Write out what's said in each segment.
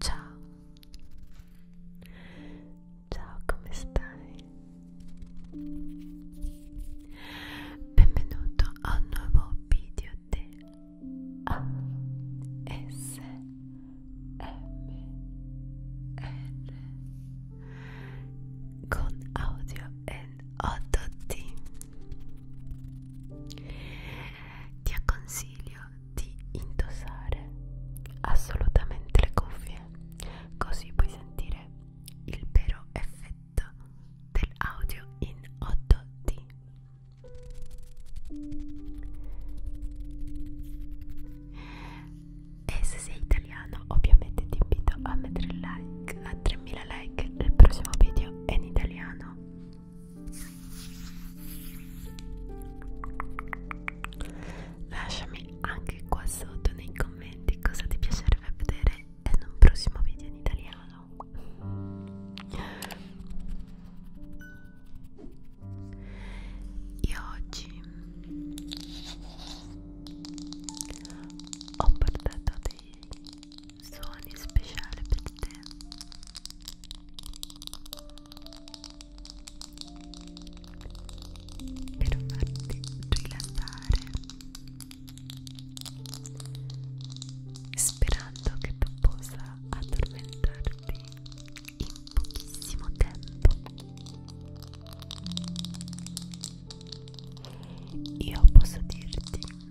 Ciao, ciao come stai? Benvenuto a un nuovo video di ASMR con audio in 8D ti consiglio di indossare assolutamente le cuffie, così puoi sentire il vero effetto dell'audio in 8D. E se sei italiano, ovviamente ti invito a mettere like a 3000 like il prossimo video è in italiano Lasciami anche qua sotto nei commenti cosa ti piacerebbe vedere in un prossimo video in italiano. Io oggi ho portato dei suoni speciali per te per farti rilassare sperando che tu possa addormentarti in pochissimo tempo io posso dirti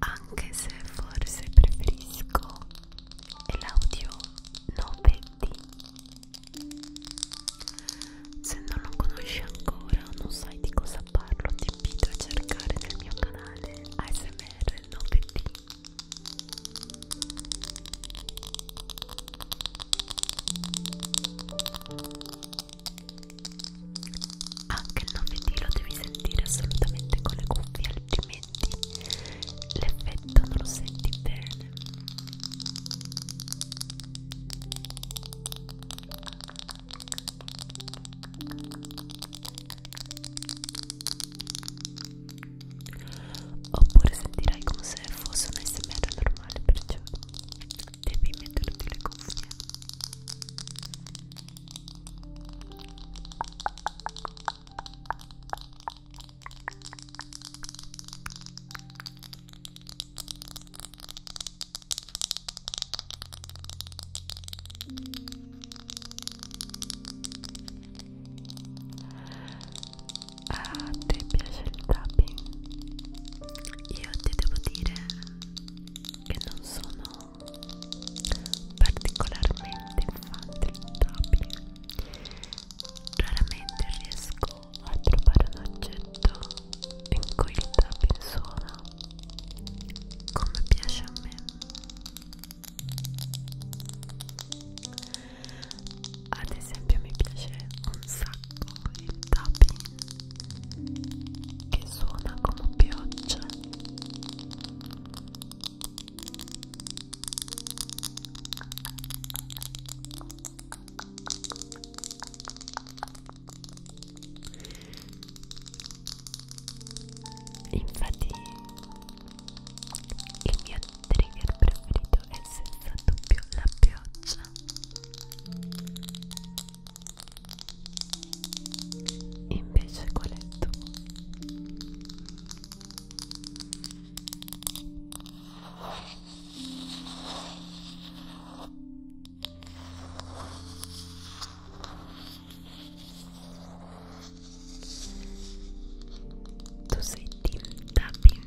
anche se forse preferisco l'audio 9D se non lo conosci ancora non sai di cosa parlo ti invito a cercare nel mio canale ASMR 9D anche il lunedì lo devi sentire assolutamente con le cuffie, altrimenti l'effetto non lo senti bene. Oppure sentirai come se fosse un SMR normale, perciò devi metterti le cuffie. A te piace il tapping? Io ti devo dire che non sono particolarmente fattabile raramente riesco a trovare un oggetto in cui il tapping suona come piace a me ad esempio mi piace un sacco il tapping che suona come pioggia infatti il mio trigger preferito è senza dubbio la pioggia Invece qual è il tuo? Tu sei Tim Tapping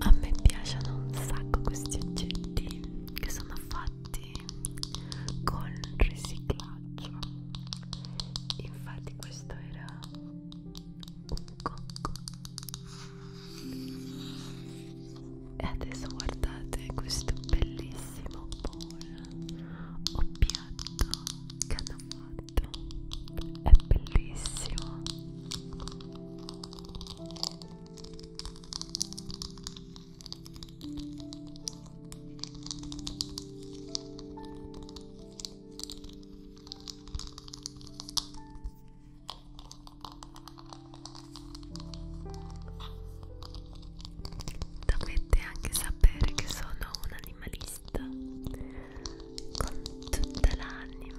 A me piacciono un sacco questi oggetti che sono sono fatti con riciclaggio infatti questo era un cocco e adesso guardate questo bellissimo bowl o piatto che hanno fatto è bellissimo Dovete anche sapere che sono un animalista con tutta l'anima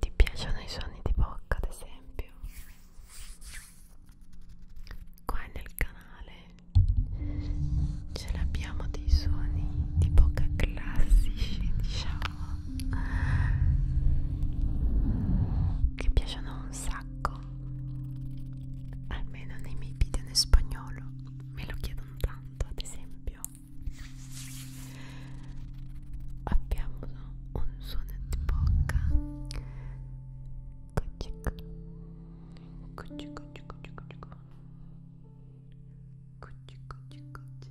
Ti piacciono i suoni di bocca, ad esempio? Qua nel canale ce l'abbiamo dei suoni di bocca classici, diciamo che piacciono un sacco almeno nei miei video in spagnolo me lo chiedono tanto ad esempio abbiamo un suono di bocca cuccic cuccic cuccic cuccic cuccic cuccic cuccic cuccic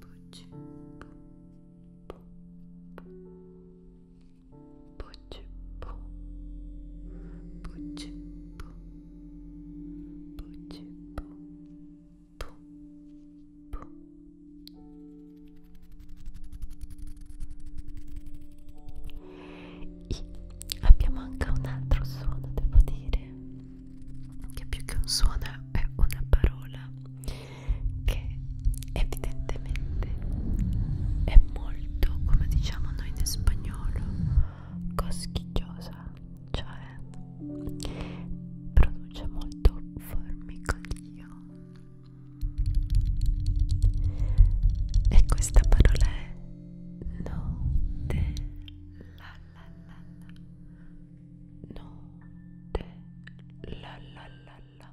Pucci, pu, pu, pu. Pucci, pu. Pucci, pu. Pucci, pu. Pu, pu. I abbiamo anche un altro suono, devo dire che più che un suono è una parola che evidentemente è molto, come diciamo noi in spagnolo, coschigliosa, cioè produce molto formicolio. E questa parola è note la la notte la la la la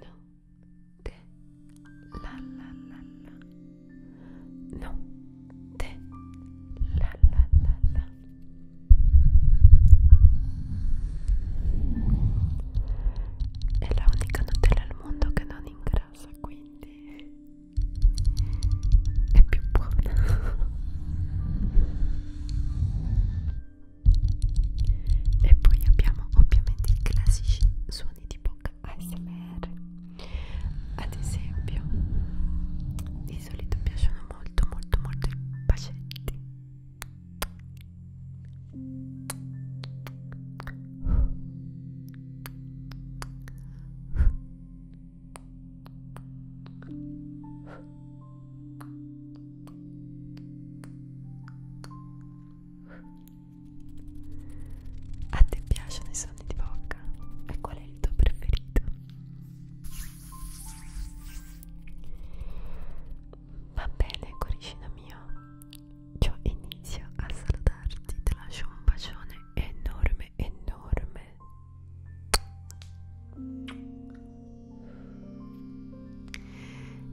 notte la la la la notte la la la la è la unica Nutella al mondo che non ingrassa quindi è più buona e poi abbiamo ovviamente i classici suoni di bocca ASMR ad esempio di solito piacciono molto molto molto i bacetti a te piacciono i suoni di bocca? E qual è il tuo preferito? Va bene, coricino mio. Io inizio a salutarti, ti lascio un bacione enorme, enorme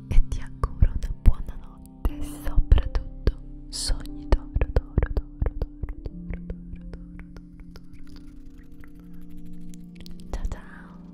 e ti auguro una buona notte e soprattutto sogni d'oro d'oro d'oro d'oro d'oro ciao ciao